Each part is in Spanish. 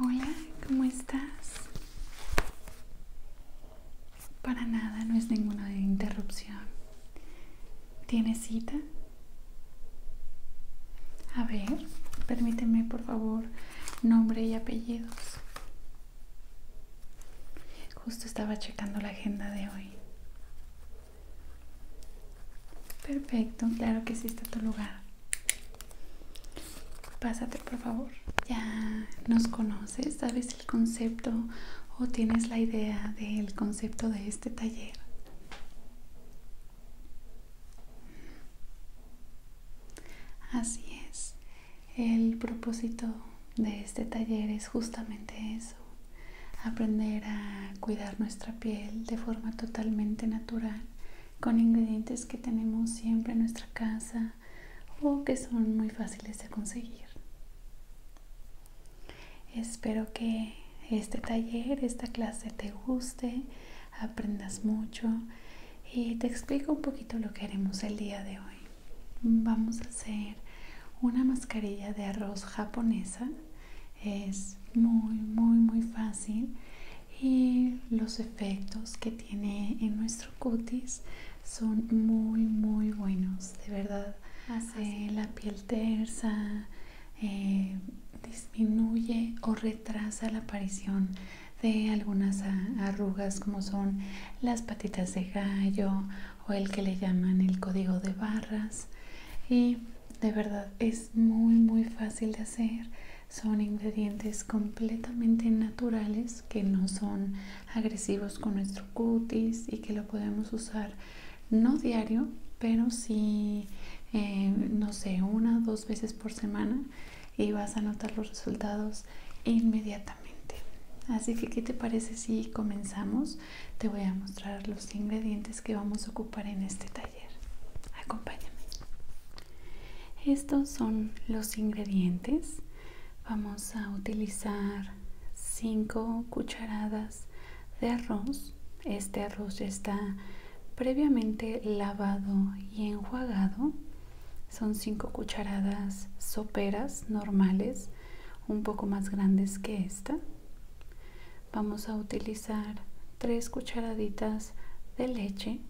Hola, ¿cómo estás? Para nada, no es ninguna interrupción. ¿Tienes cita? A ver, permíteme por favor nombre y apellidos. Justo estaba checando la agenda de hoy. Perfecto, claro que sí está tu lugar. Pásate por favor. Ya nos conoces, sabes el concepto o tienes la idea del concepto de este taller. Así es. El propósito de este taller es justamente eso, aprender a cuidar nuestra piel de forma totalmente natural con ingredientes que tenemos siempre en nuestra casa o que son muy fáciles de conseguir. Espero que este taller, esta clase te guste, aprendas mucho y te explico un poquito lo que haremos el día de hoy. Vamos a hacer una mascarilla de arroz japonesa es muy muy muy fácil y los efectos que tiene en nuestro cutis son muy muy buenos de verdad hace eh, la piel tersa eh, disminuye o retrasa la aparición de algunas arrugas como son las patitas de gallo o el que le llaman el código de barras de verdad es muy muy fácil de hacer son ingredientes completamente naturales que no son agresivos con nuestro cutis y que lo podemos usar no diario pero sí eh, no sé una o dos veces por semana y vas a notar los resultados inmediatamente Así que, ¿qué te parece si comenzamos? Te voy a mostrar los ingredientes que vamos a ocupar en este taller. Acompáñame. Estos son los ingredientes. Vamos a utilizar 5 cucharadas de arroz. Este arroz ya está previamente lavado y enjuagado. Son 5 cucharadas soperas normales, un poco más grandes que esta. Vamos a utilizar tres cucharaditas de leche,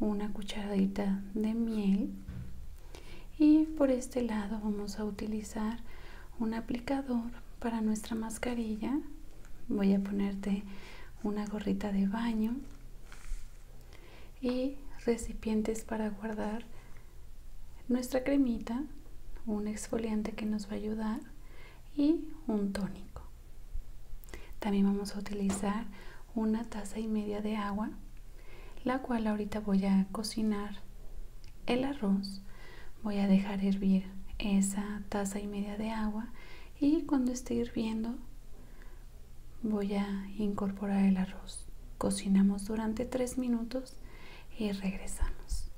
una cucharadita de miel y por este lado vamos a utilizar un aplicador para nuestra mascarilla. Voy a ponerte una gorrita de baño y recipientes para guardar nuestra cremita, un exfoliante que nos va a ayudar y un tónico. También vamos a utilizar una taza y media de agua, la cual ahorita voy a cocinar el arroz. Voy a dejar hervir esa taza y media de agua y cuando esté hirviendo voy a incorporar el arroz. Cocinamos durante 3 minutos y regresamos.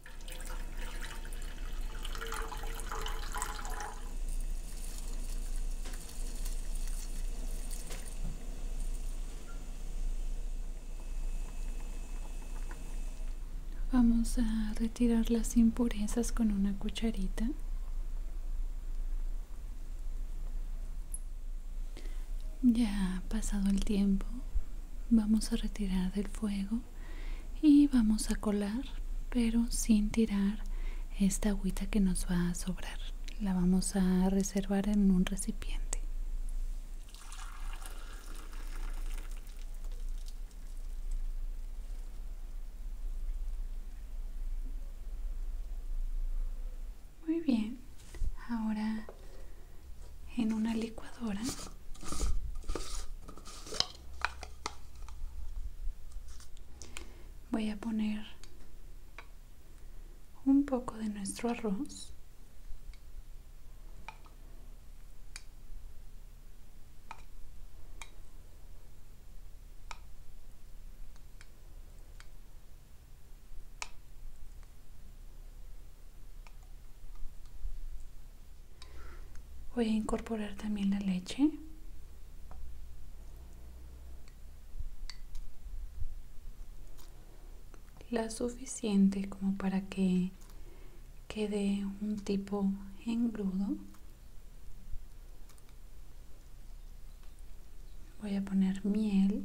Vamos a retirar las impurezas con una cucharita. Ya ha pasado el tiempo, vamos a retirar del fuego y vamos a colar pero sin tirar esta agüita que nos va a sobrar la vamos a reservar en un recipiente muy bien ahora en una licuadora voy a poner un poco de nuestro arroz Voy a incorporar también la leche. La suficiente como para que quede un tipo engrudo. Voy a poner miel.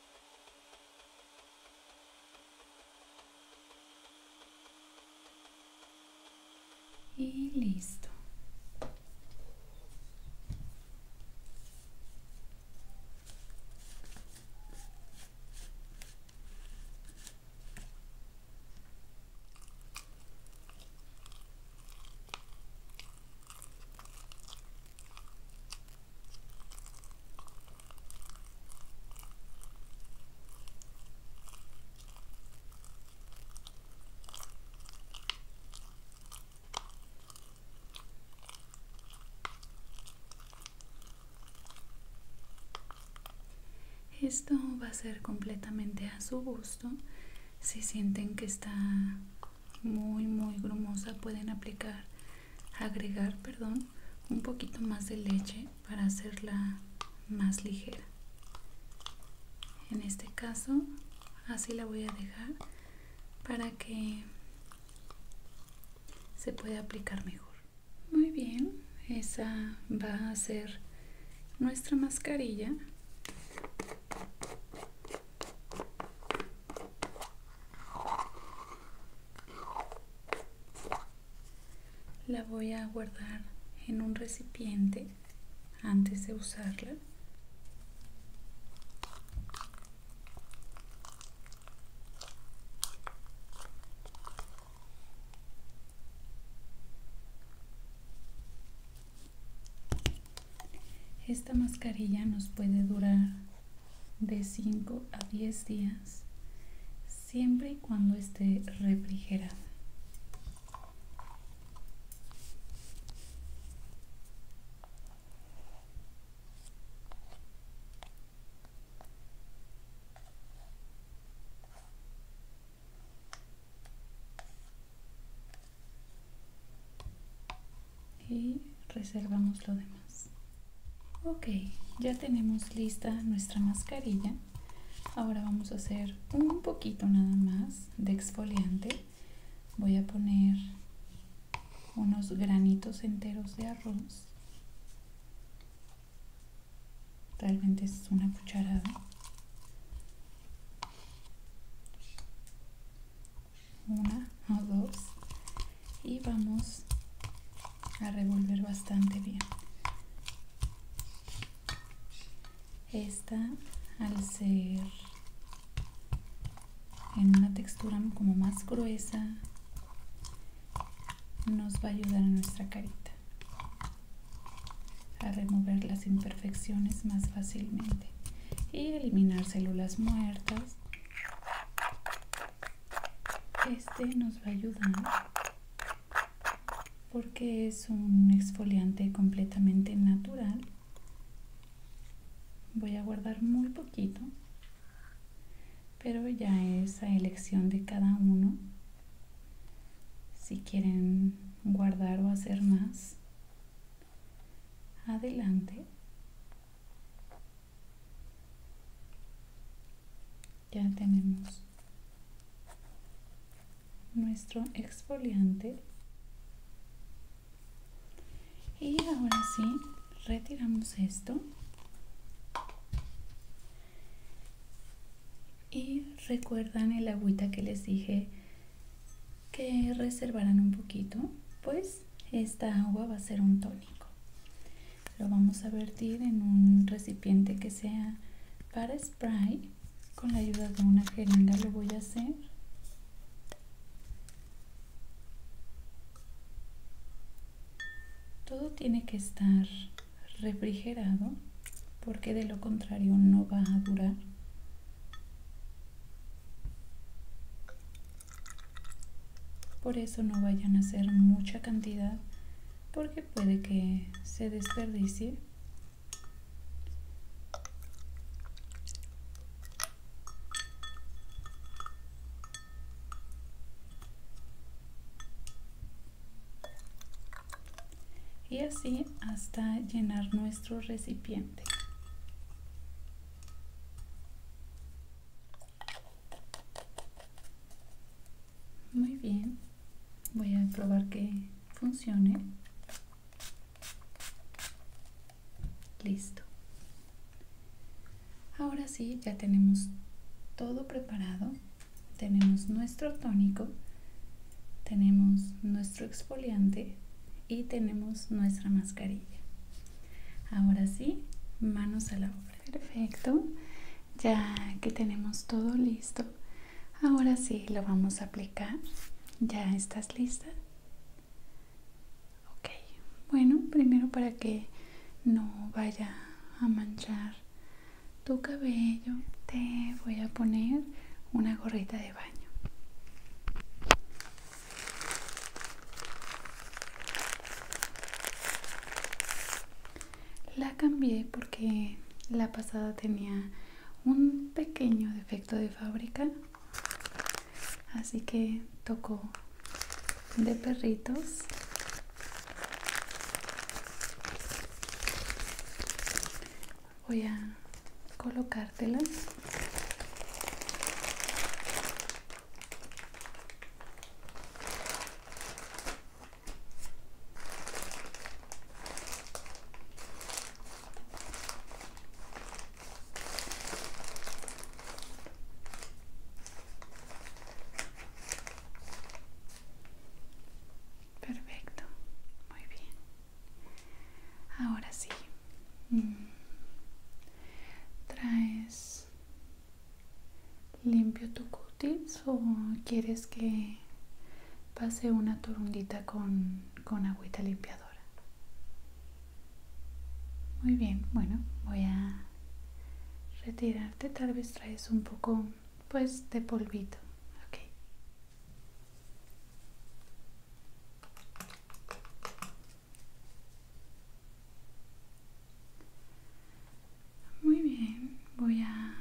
Y listo. Esto va a ser completamente a su gusto. Si sienten que está muy muy grumosa pueden aplicar agregar perdón un poquito más de leche para hacerla más ligera en este caso así la voy a dejar para que se pueda aplicar mejor muy bien esa va a ser nuestra mascarilla la voy a guardar en un recipiente antes de usarla. Esta mascarilla nos puede durar de 5 a 10 días siempre y cuando esté refrigerada y reservamos lo demás ok ya tenemos lista nuestra mascarilla ahora vamos a hacer un poquito nada más de exfoliante voy a poner unos granitos enteros de arroz realmente es una cucharada una o dos y vamos a revolver bastante bien esta al ser en una textura como más gruesa nos va a ayudar a nuestra carita a remover las imperfecciones más fácilmente y eliminar células muertas este nos va a ayudar porque es un exfoliante completamente natural. Voy a guardar muy poquito, pero ya es a elección de cada uno. Si quieren guardar o hacer más, adelante. Ya tenemos nuestro exfoliante. Y ahora sí, retiramos esto. Y recuerdan el agüita que les dije que reservaran un poquito. Pues esta agua va a ser un tónico. Lo vamos a vertir en un recipiente que sea para spray. Con la ayuda de una jeringa lo voy a hacer. Todo tiene que estar refrigerado porque de lo contrario no va a durar. Por eso no vayan a hacer mucha cantidad porque puede que se desperdicie. y así hasta llenar nuestro recipiente. Muy bien, voy a probar que funcione. Listo. Ahora sí, ya tenemos todo preparado. Tenemos nuestro tónico, tenemos nuestro exfoliante y tenemos nuestra mascarilla. Ahora sí, manos a la obra. Perfecto. Ya que tenemos todo listo, ahora sí lo vamos a aplicar. ¿Ya estás lista? Ok. Bueno, primero para que no vaya a manchar tu cabello, te voy a poner una gorrita de baño. La cambié porque la pasada tenía un pequeño defecto de fábrica, así que tocó de perritos. Voy a colocártelas Perfecto, muy bien. Ahora sí, Mm. ¿Traes limpio tu cutis o quieres que pase una torundita con, agüita limpiadora? Muy bien, bueno, voy a retirarte. Tal vez traes un poco, pues, de polvito. Okay. Muy bien, voy a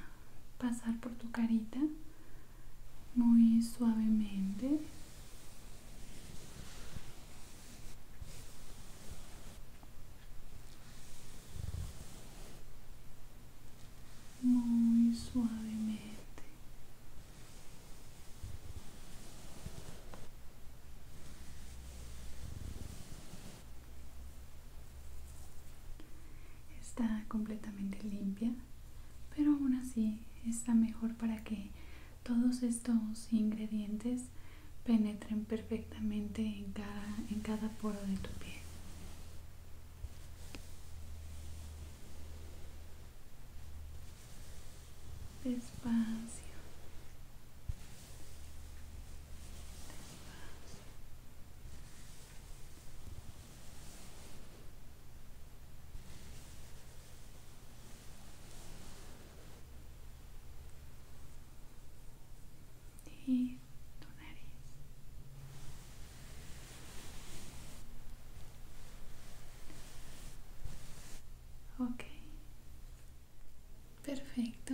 pasar por tu carita muy suavemente. Muy suavemente. Está completamente limpia, pero aún así está mejor para que todos estos ingredientes penetren perfectamente en cada, poro de tu piel despacio, despacio. Y tu nariz ok perfecto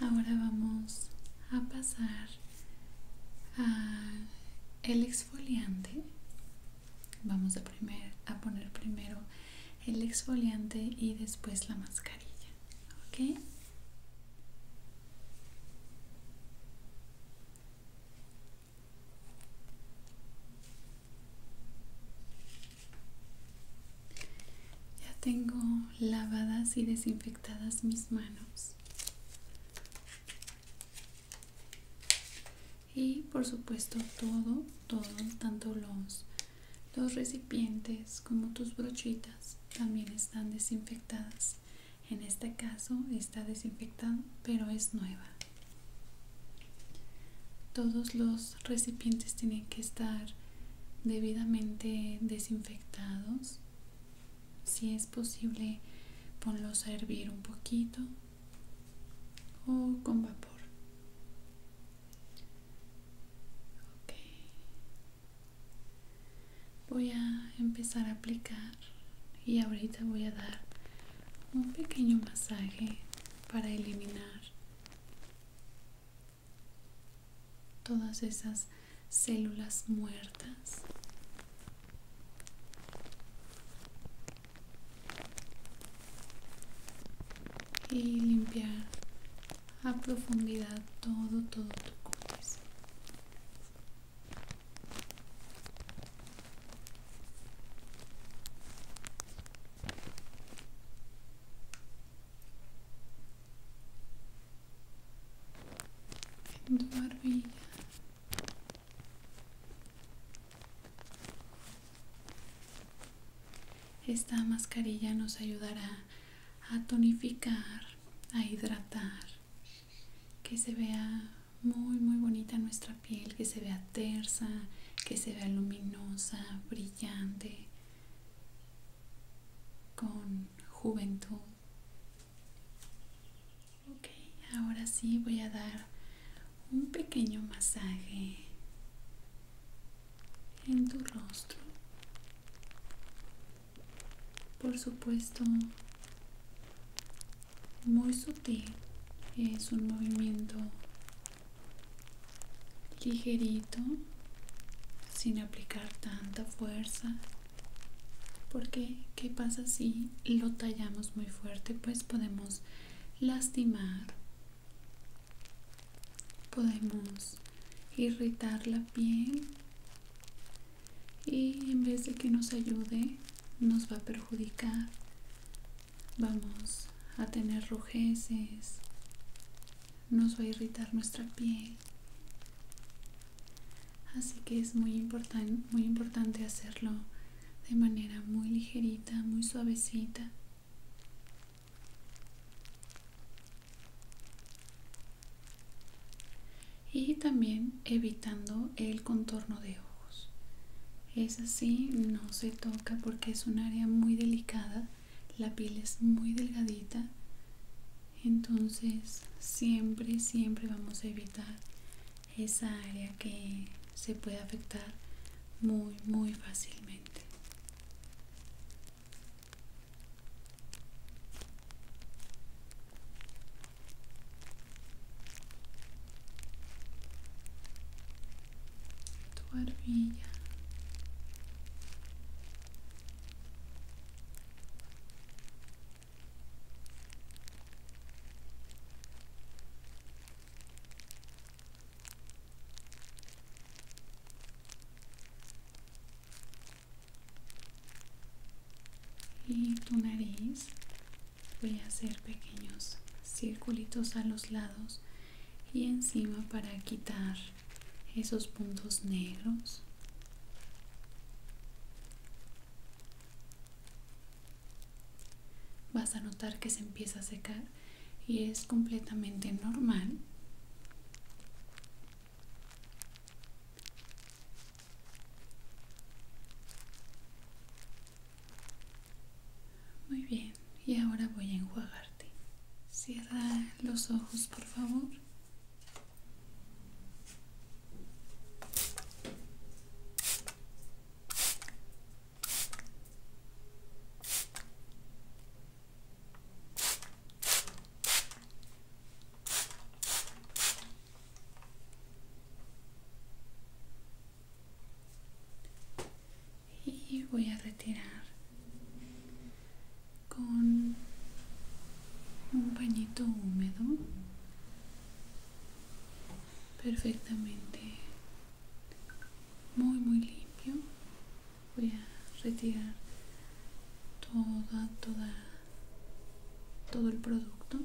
ahora vamos a pasar a el exfoliante vamos a, a poner primero el exfoliante y después la mascarilla ok ya tengo lavadas y desinfectadas mis manos. Y por supuesto todo, todo, tanto los, los recipientes como tus brochitas también están desinfectadas. En este caso está desinfectado, pero es nueva. Todos los recipientes tienen que estar debidamente desinfectados. Si es posible, ponlos a hervir un poquito o con vapor. Voy a empezar a aplicar y ahorita voy a dar un pequeño masaje para eliminar todas esas células muertas. Y limpiar a profundidad todo, todo tu cuerpo esta mascarilla nos ayudará a tonificar a hidratar que se vea muy muy bonita nuestra piel que se vea tersa, que se vea luminosa, brillante, con juventud. Ok, ahora sí voy a dar un pequeño masaje en tu rostro. Por supuesto, muy sutil, es un movimiento ligerito sin aplicar tanta fuerza porque qué pasa si lo tallamos muy fuerte pues podemos lastimar podemos irritar la piel y en vez de que nos ayude nos va a perjudicar vamos a tener rujeces, nos va a irritar nuestra piel. Así que es muy, importante muy importante hacerlo de manera muy ligerita, muy suavecita. Y también evitando el contorno de ojos. Es así, no se toca porque es un área muy delicada, la piel es muy delgadita, entonces siempre, siempre vamos a evitar esa área que se puede afectar muy, muy fácilmente tu barbilla y tu nariz voy a hacer pequeños circulitos a los lados y encima para quitar esos puntos negros vas a notar que se empieza a secar y es completamente normal muy bien, y ahora voy a enjuagarte. Cierra los ojos, por favor y voy a retirar con un pañito húmedo perfectamente muy muy limpio voy a retirar toda toda todo el producto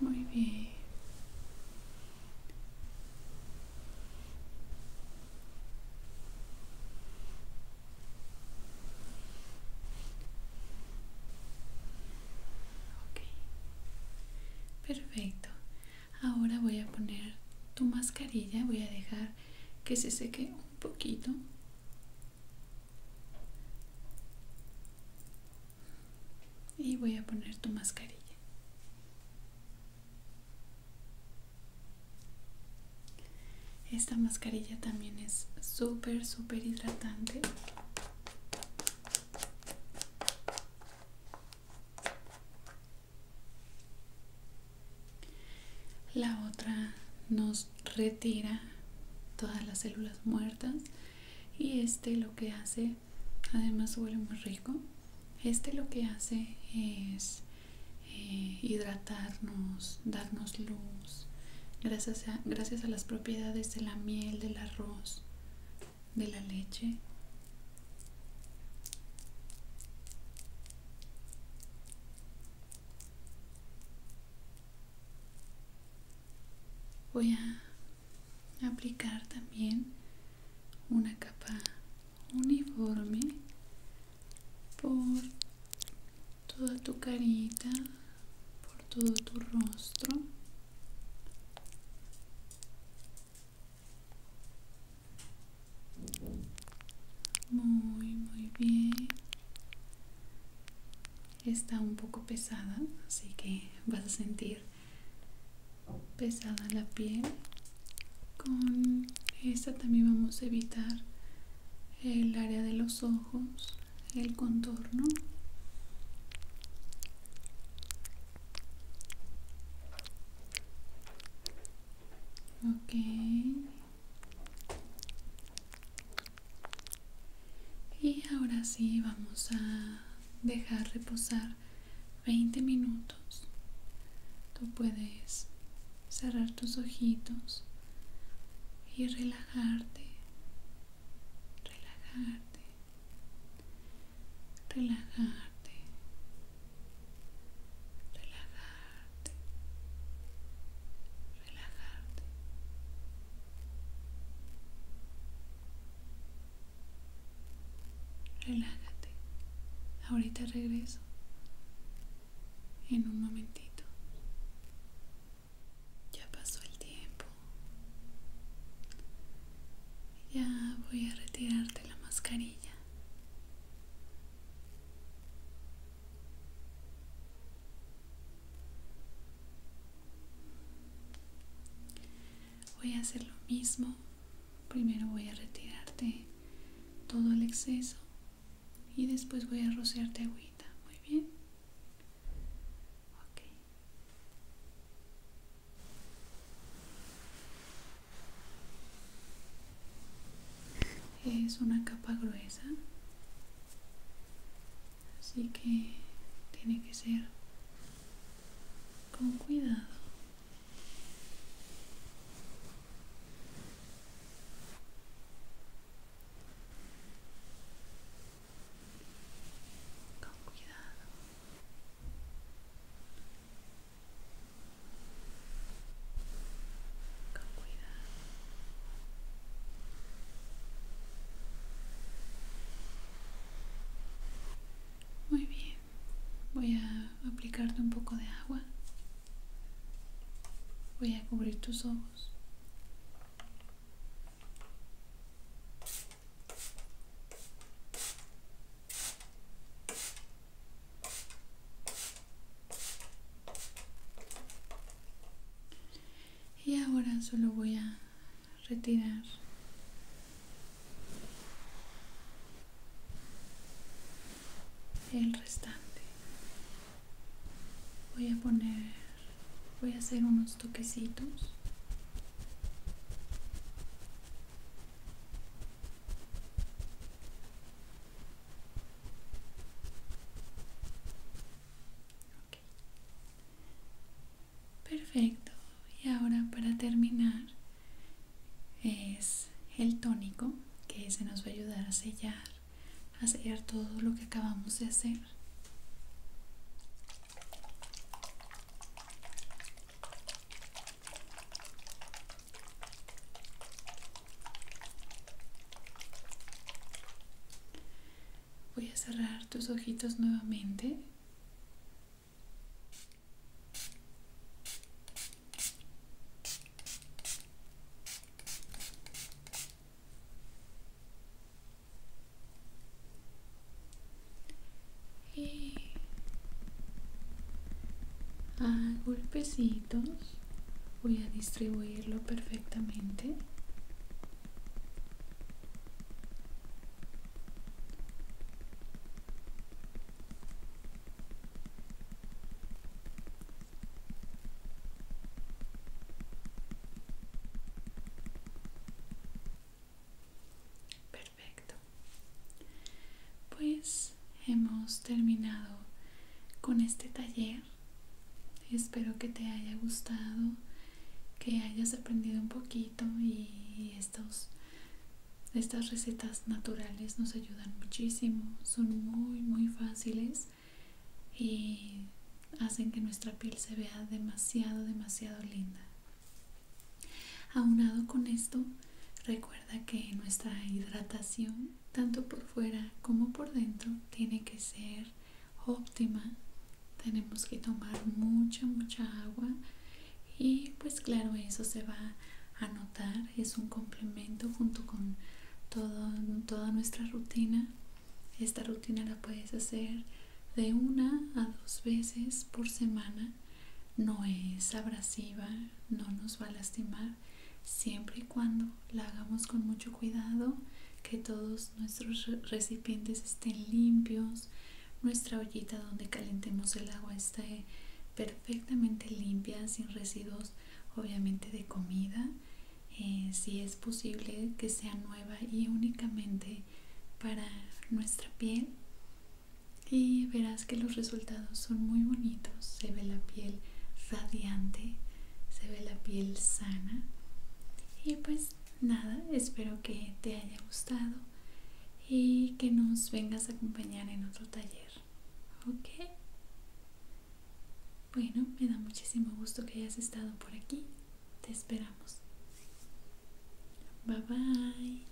muy bien. Perfecto. Ahora voy a poner tu mascarilla, voy a dejar que se seque un poquito y voy a poner tu mascarilla esta mascarilla también es súper súper hidratante la otra nos retira todas las células muertas y este lo que hace, además huele muy rico, este lo que hace es eh, hidratarnos, darnos luz, gracias a las propiedades de la miel, del arroz, de la leche voy a aplicar también una capa uniforme por toda tu carita por todo tu rostro muy, muy bien. Está un poco pesada, así que vas a sentir pesada la piel. Con esta también vamos a evitar el área de los ojos, el contorno. Ok. Y ahora sí vamos a dejar reposar 20 minutos. Tú puedes cerrar tus ojitos y relajarte. Relajarte. Relajarte relajarte, relajarte. Relájate. Ahorita regreso. En un momentito. Ya pasó el tiempo. Ya voy a retirarte la mascarilla. Voy a hacer lo mismo. Primero voy a retirarte todo el exceso y después voy a rociarte agüita. Muy bien. Ok es una capa gruesa así que tiene que ser con cuidado muy bien voy a aplicarte un poco de agua voy a cubrir tus ojos y ahora solo voy a retirar el restante voy a poner voy a hacer unos toquecitos Perfecto. Y ahora para terminar es el tónico que se nos va a ayudar a sellar, a sellar todo lo que acabamos de hacer. Voy a cerrar tus ojitos nuevamente. Y a golpecitos voy a distribuirlo perfectamente perfecto pues hemos terminado con este taller. Espero que te haya gustado, que hayas aprendido un poquito y estas recetas naturales nos ayudan muchísimo. Son muy, muy fáciles y hacen que nuestra piel se vea demasiado, demasiado linda. Aunado con esto, recuerda que nuestra hidratación, tanto por fuera como por dentro, tiene que ser óptima. Tenemos que tomar mucha, mucha agua y pues claro, eso se va a notar. Es un complemento junto con toda nuestra rutina. Esta rutina la puedes hacer de una a dos veces por semana. No es abrasiva, no nos va a lastimar siempre y cuando la hagamos con mucho cuidado que todos nuestros recipientes estén limpios nuestra ollita donde calentemos el agua esté perfectamente limpia sin residuos obviamente de comida eh, si es posible que sea nueva y únicamente para nuestra piel y verás que los resultados son muy bonitos. Se ve la piel radiante, se ve la piel sana. Y pues nada, espero que te haya gustado y que nos vengas a acompañar en otro taller. ¿Ok? Bueno, me da muchísimo gusto que hayas estado por aquí. Te esperamos. Bye bye.